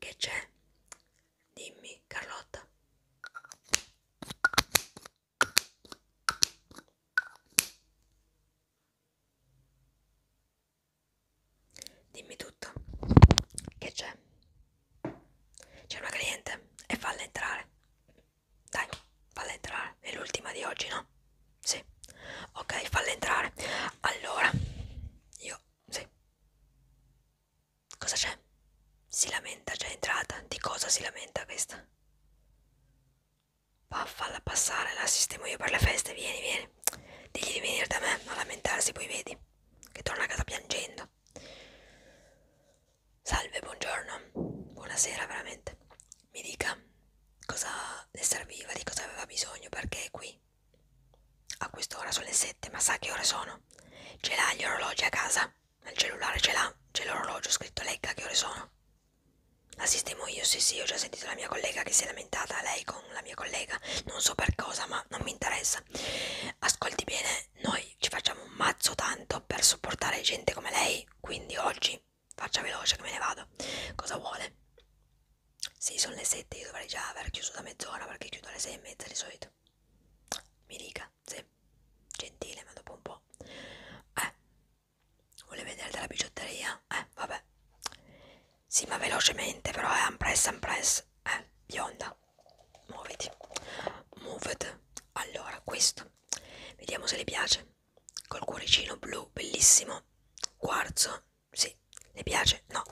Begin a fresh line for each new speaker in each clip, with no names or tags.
Che c'è? Dimmi, Carlotta. Dimmi tutto. Che c'è? C'è una cliente e falla entrare. Dai, falla entrare. È l'ultima di oggi, no? Sì. Ok, falla entrare. Allora, io... Sì. Cosa c'è? Si lamenta, già entrata. Di cosa si lamenta questa? Vaffalla passare, la sistemo io per le feste, vieni, vieni. Digli di venire da me a lamentarsi, poi vedi. Che torna a casa piangendo. Salve, buongiorno. Buonasera, veramente. Mi dica cosa le serviva, di cosa aveva bisogno, perché è qui. A quest'ora sono le sette, ma sa che ore sono? Ce l'ha gli orologi a casa? Nel cellulare ce l'ha, c'è l'orologio scritto legga che ore sono. La sistemo io, sì sì, ho già sentito la mia collega che si è lamentata, lei con la mia collega, non so per cosa, ma non mi interessa. Ascolti bene, noi ci facciamo un mazzo tanto per sopportare gente come lei, quindi oggi faccia veloce che me ne vado. Cosa vuole? Sì, sono le sette, io dovrei già aver chiuso da mezz'ora perché chiudo alle sei e mezza di solito. Mi dica, sì, gentile, ma dopo un po'. Eh, Vuole vedere della bigiotteria? Eh, vabbè. Sì, ma velocemente, però è eh, unpress, unpress. Eh, bionda. Muoviti. Moved. Allora, questo. Vediamo se le piace. Col cuoricino blu, bellissimo. Quarzo. Sì, le piace? No,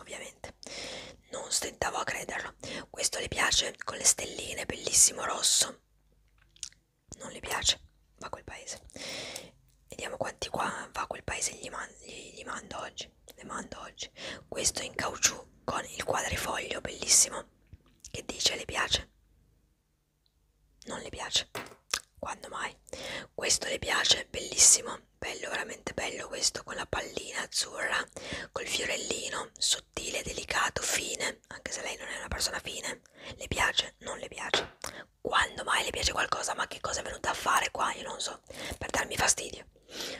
ovviamente. Non stentavo a crederlo. Questo le piace con le stelline, bellissimo rosso non le piace, va a quel paese. Vediamo quanti qua va a quel paese gli, man gli, gli mando oggi. Le mando oggi. Questo in caucciù con il quadrifoglio, bellissimo. Che dice le piace? Non le piace. Quando mai? Questo le piace, bellissimo. Bello, veramente bello questo con la pallina azzurra, col fiorellino, sottile, delicato, fine, anche se lei non è una persona fine, le piace, non le piace, quando mai le piace qualcosa, ma che cosa è venuta a fare qua, io non so, per darmi fastidio.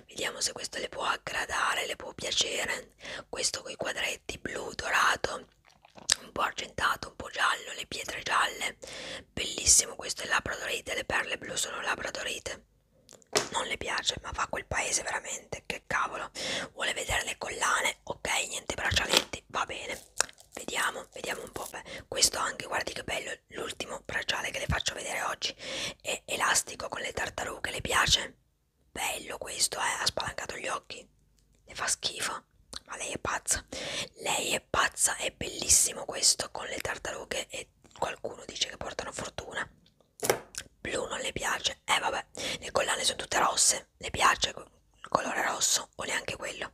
Vediamo se questo le può aggradare, le può piacere, questo con i quadretti blu, dorato, un po' argentato, un po' giallo, le pietre gialle, bellissimo questo è labbra dorite, le perle blu sono labbra dorite non le piace ma va a quel paese veramente che che cavolo vuole vedere le collane ok niente braccialetti va bene vediamo vediamo un po' Beh, questo anche guardi che bello l'ultimo bracciale che le faccio vedere oggi è elastico con le tartarughe le piace bello questo eh? ha spalancato gli occhi le fa schifo ma lei è pazza lei è pazza è bellissimo questo con le tartarughe e qualcuno dice che portano fortuna blu non le piace eh vabbè le collane sono tutte rosse forse le piace colore rosso o neanche quello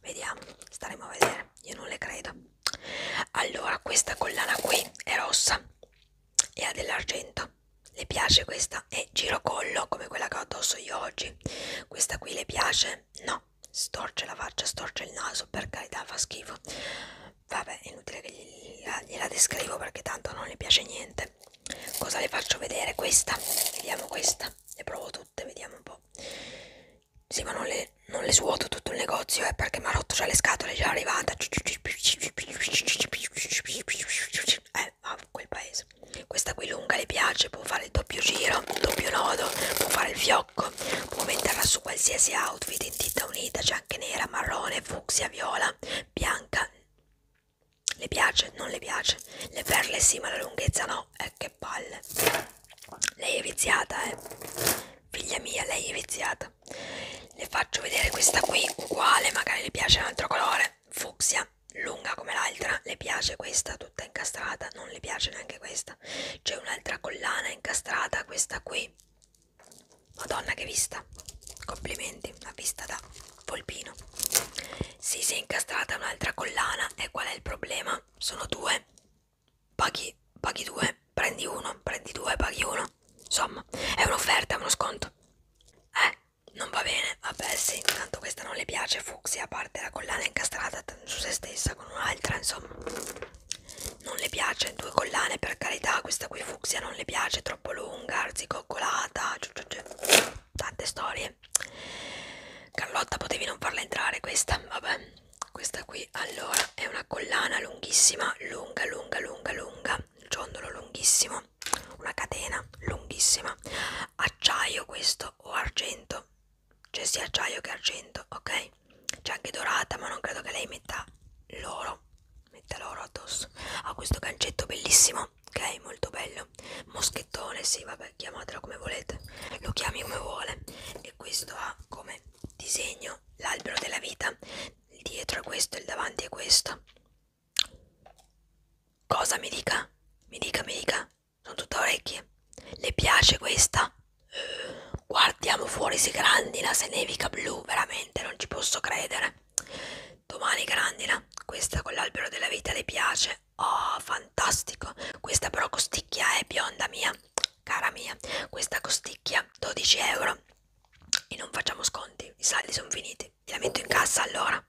vediamo staremo a vedere io non le credo allora questa collana qui è rossa e ha dell'argento le piace questa è girocollo come quella che ho addosso io oggi questa qui le piace no storce la faccia storce il naso per carità fa schifo vabbè è inutile che gliela, gliela descrivo perché tanto non le piace niente cosa le faccio vedere? Questa, vediamo questa, le provo tutte, vediamo un po'. Sì, ma non le, non le suoto tutto il negozio, eh, perché mi ha rotto già le scatole, è già arrivata. Eh, ma quel paese. Questa qui lunga le piace, può fare il doppio giro, il doppio nodo, può fare il fiocco, può metterla su qualsiasi outfit in tinta unita, c'è anche nera, marrone, fucsia, viola, bianca, le piace? Non le piace? Le perle sì, ma la lunghezza no. Eh, che palle. Lei è viziata, eh. Figlia mia, lei è viziata. Le faccio vedere questa qui, uguale, magari le piace un altro colore. Fucsia, lunga come l'altra. Le piace questa, tutta incastrata. Non le piace neanche questa. C'è un'altra collana incastrata, questa qui. Madonna che vista! Complimenti, una vista da polpino. Sì, si è incastrata un'altra collana e qual è il problema? Sono due. Paghi, paghi due, prendi uno, prendi due, paghi uno. Insomma, è un'offerta, è uno sconto. Eh, non va bene. Vabbè, sì, tanto questa non le piace, Fuxi, a parte la collana incastrata su se stessa con un'altra, insomma. Non le piace, due collane per carità, questa qui Fuxia non le piace, troppo lunga, arzicoccolata, aggiunge tante storie Carlotta potevi non farla entrare questa vabbè questa qui allora è una collana lunghissima lunga lunga lunga lunga ciondolo lunghissimo una catena lunghissima acciaio questo o argento c'è cioè, sia acciaio che argento ok c'è anche dorata ma non credo che lei metta l'oro metta l'oro addosso ha questo gancetto bellissimo ok? Molto bello. Moschettone, sì, vabbè, chiamatela come volete. Lo chiami come vuole. E questo ha come disegno l'albero della vita. Il dietro è questo, il davanti è questo. Cosa mi dica? Mi dica, mi dica. Sono tutta orecchie. Le piace questa? Guardiamo fuori, si grandina, se nevica blu, veramente, non ci posso credere. Domani grandina, questa con l'albero della vita le piace. Oh, fantastico! Questa però costicchia è bionda mia, cara mia. Questa costicchia 12 euro. E non facciamo sconti, i saldi sono finiti. Ti la metto in cassa allora?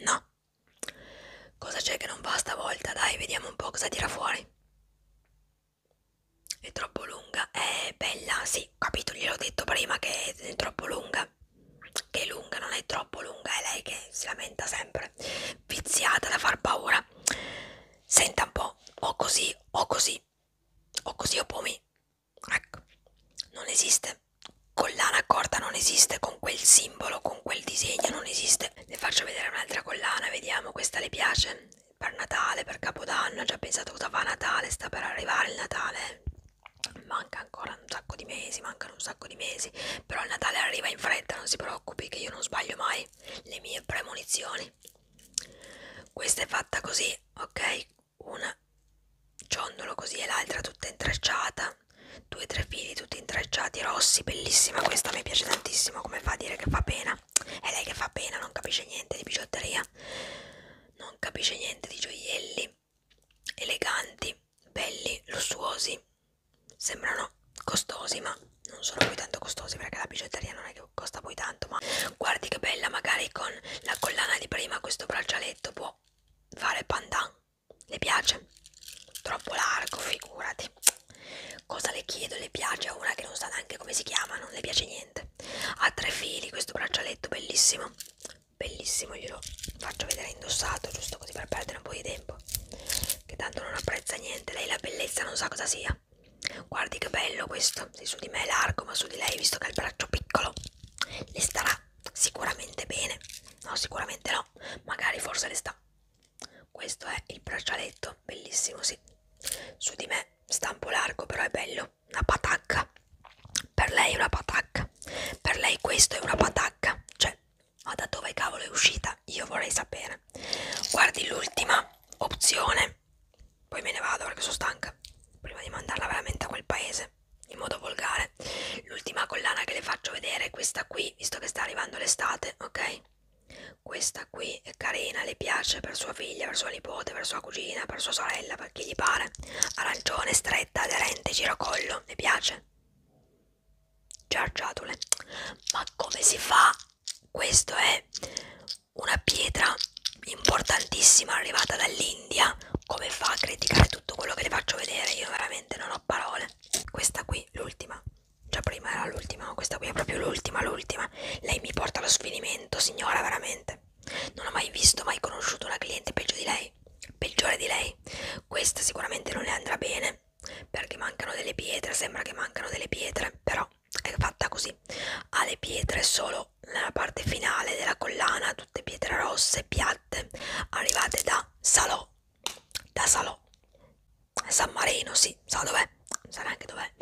No. Cosa c'è che non va stavolta? Dai, vediamo un po' cosa tira fuori. È troppo lunga, è bella, sì, sì, capito, gliel'ho detto prima che è troppo lunga. Che è lunga, non è troppo lunga, è lei che si lamenta sempre, viziata da far paura. Senta un po', o così, o così, o così o pomi. Ecco, non esiste. Collana corta non esiste, con quel simbolo, con quel disegno non esiste. Le faccio vedere un'altra collana, vediamo, questa le piace? Per Natale, per Capodanno, ho già pensato cosa fa Natale, sta per arrivare il Natale manca ancora un sacco di mesi, mancano un sacco di mesi, però il Natale arriva in fretta, non si preoccupi che io non sbaglio mai le mie premonizioni. Questa è fatta così, ok? Una ciondolo così e l'altra tutta intrecciata, due tre fili tutti intrecciati rossi, bellissima questa, mi piace tantissimo, come fa a dire che fa pena? È lei che fa pena, non capisce niente di bigiotteria non capisce niente di gioielli eleganti, belli, lussuosi, sembrano costosi ma non sono poi tanto costosi perché la bigiotteria non è che costa poi tanto ma guardi che bella magari con la collana di prima questo braccialetto può fare pandan, le piace? Troppo largo figurati, cosa le chiedo? Le piace a una che non sa neanche come si chiama, non le piace niente, ha tre fili questo braccialetto bellissimo bellissimo glielo faccio vedere indossato giusto così per perdere un po' di tempo che tanto non apprezza niente lei la bellezza non sa cosa sia guardi che bello questo se su di me è largo ma su di lei visto che ha il braccio piccolo le starà sicuramente bene no sicuramente no magari forse le sta questo è il braccialetto bellissimo sì su di me sta un po' largo però è bello una patacca per lei è una patacca per lei questo è una patacca cioè ma da dove cavolo è uscita io vorrei sapere guardi l'ultima opzione poi me ne vado perché sono stanca prima di mandarla veramente a quel paese in modo volgare l'ultima collana che le faccio vedere è questa qui visto che sta arrivando l'estate ok questa qui è carina le piace per sua figlia per sua nipote per sua cugina per sua sorella quel che gli pare. Arancione, stretta, aderente, giracollo. Mi piace? Giargiatole. Ma come si fa? Questo è una pietra importantissima arrivata dall'India. Come fa a criticare tutto quello che le faccio vedere? Io veramente non ho parole. Questa qui, l'ultima. Già prima era l'ultima, questa qui è proprio l'ultima, l'ultima. Lei mi porta allo sfinimento, signora, veramente. Non ho mai visto, mai conosciuto una cliente peggio di lei, peggiore di lei. Questa sicuramente non le andrà bene, perché mancano delle pietre, sembra che mancano delle pietre, però è fatta così. Ha le pietre solo nella parte finale della collana, tutte pietre rosse, piatte, arrivate da Salò, da Salò. San Marino, sì, sa dov'è, non sa neanche dov'è.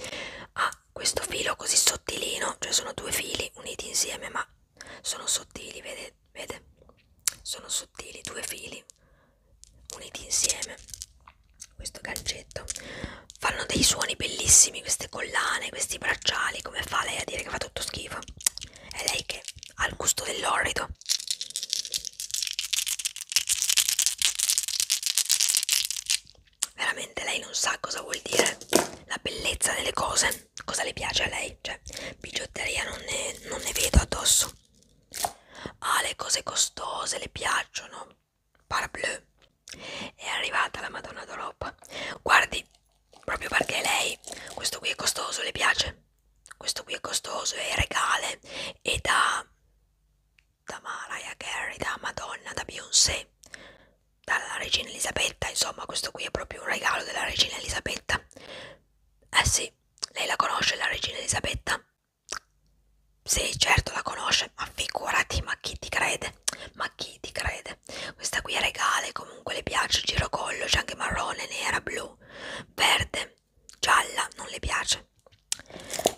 Ha questo filo così sottilino, cioè sono due fili uniti insieme, ma sono sottili, vedete? Vede? Sono sottili, due fili uniti insieme. Questo gancetto fanno dei suoni bellissimi, queste collane, questi bracciali. Come fa lei a dire che fa tutto schifo? È lei che ha il gusto dell'orrido veramente lei non sa cosa vuol dire la bellezza delle cose, cosa le piace a lei, cioè bigiotteria non ne, non ne vedo addosso. Ah, le cose costose le piacciono, parbleu, è arrivata la Madonna d'Europa. Guardi, proprio perché lei, questo qui è costoso, le piace, questo qui è costoso, è regale, è da, da Mariah Carey, da Madonna, da Beyoncé, dalla regina Elisabetta, insomma questo qui è proprio un regalo della regina Elisabetta. Eh sì, lei la conosce la regina Elisabetta? Sì, certo la conosce, ma figurati, ma chi ti crede? Ma chi ti crede? Questa qui è regale, comunque le piace il girocollo, c'è anche marrone, nera, blu, verde, gialla, non le piace.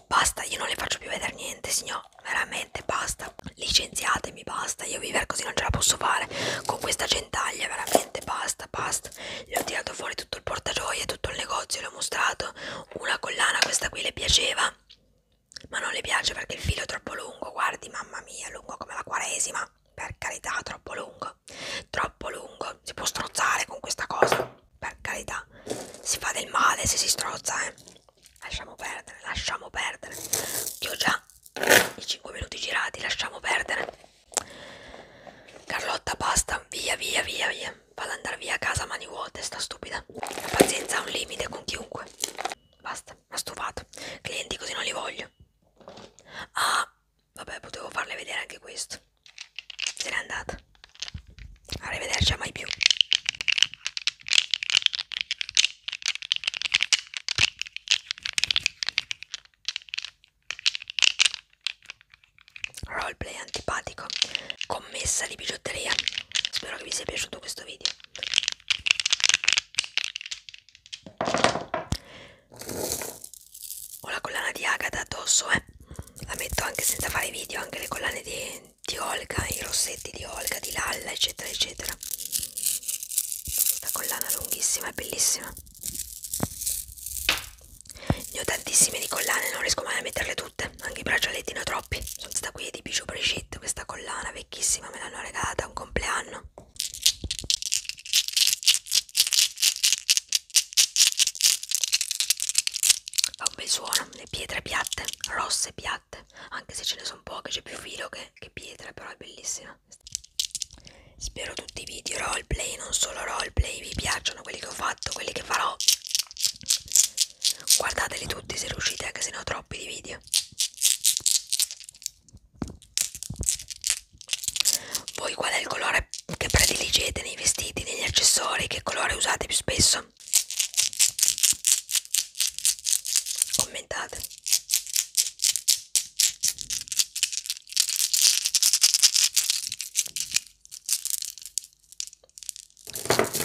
Basta, io non le faccio più vedere niente, signori no, veramente basta, licenziatemi, basta, io vivere così non ce la posso fare, con questa gentaglia veramente basta, basta, le ho tirato fuori tutto il portagioie, tutto il negozio, le ho mostrato una collana, questa qui le piaceva, ma non le piace perché il filo è troppo lungo, guardi mamma mia, lungo come la quaresima, per carità, troppo lungo, troppo lungo, si può strozzare con questa cosa, per carità, si fa del male se si strozza, eh lasciamo perdere, lasciamo perdere. Ti ho già i 5 minuti girati, lasciamo perdere. Carlotta, basta, via, via, via, via. Vado ad andare via a casa a mani vuote, sta stupida. La pazienza ha un limite con chiunque. Basta, mi ha stufato. Clienti così non li voglio. Ah, vabbè, potevo farle vedere anche questo. Se n'è andata. Arrivederci a mai più roleplay antipatico commessa di bigiotteria spero che vi sia piaciuto questo video ho la collana di Agatha addosso eh la metto anche senza fare video anche le collane di di Olga, i rossetti di Olga, di Lalla, eccetera, eccetera. Questa collana lunghissima è bellissima. Ne ho tantissime di collane, non riesco mai a metterle tutte, anche i braccialetti ne ho troppi. Sono questa qui di Bijou Brigitte, questa collana vecchissima, me l'hanno regalata a un compleanno. Fa un bel suono, le pietre piatte, rosse piatte latte anche se ce ne sono poche c'è più filo che, che pietra però è bellissima spero tutti i video roleplay non solo roleplay vi piacciono quelli che ho fatto quelli che farò guardateli tutti se riuscite anche se ne ho troppi di video voi qual è il colore che prediligete nei vestiti negli accessori che colore usate più spesso Commentate.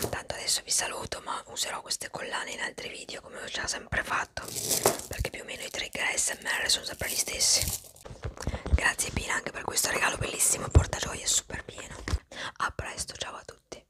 Tanto adesso vi saluto, ma userò queste collane in altri video come ho già sempre fatto, perché più o meno i trigger ASMR sono sempre gli stessi. Grazie Pina anche per questo regalo bellissimo, porta gioia super pieno. A presto, ciao a tutti.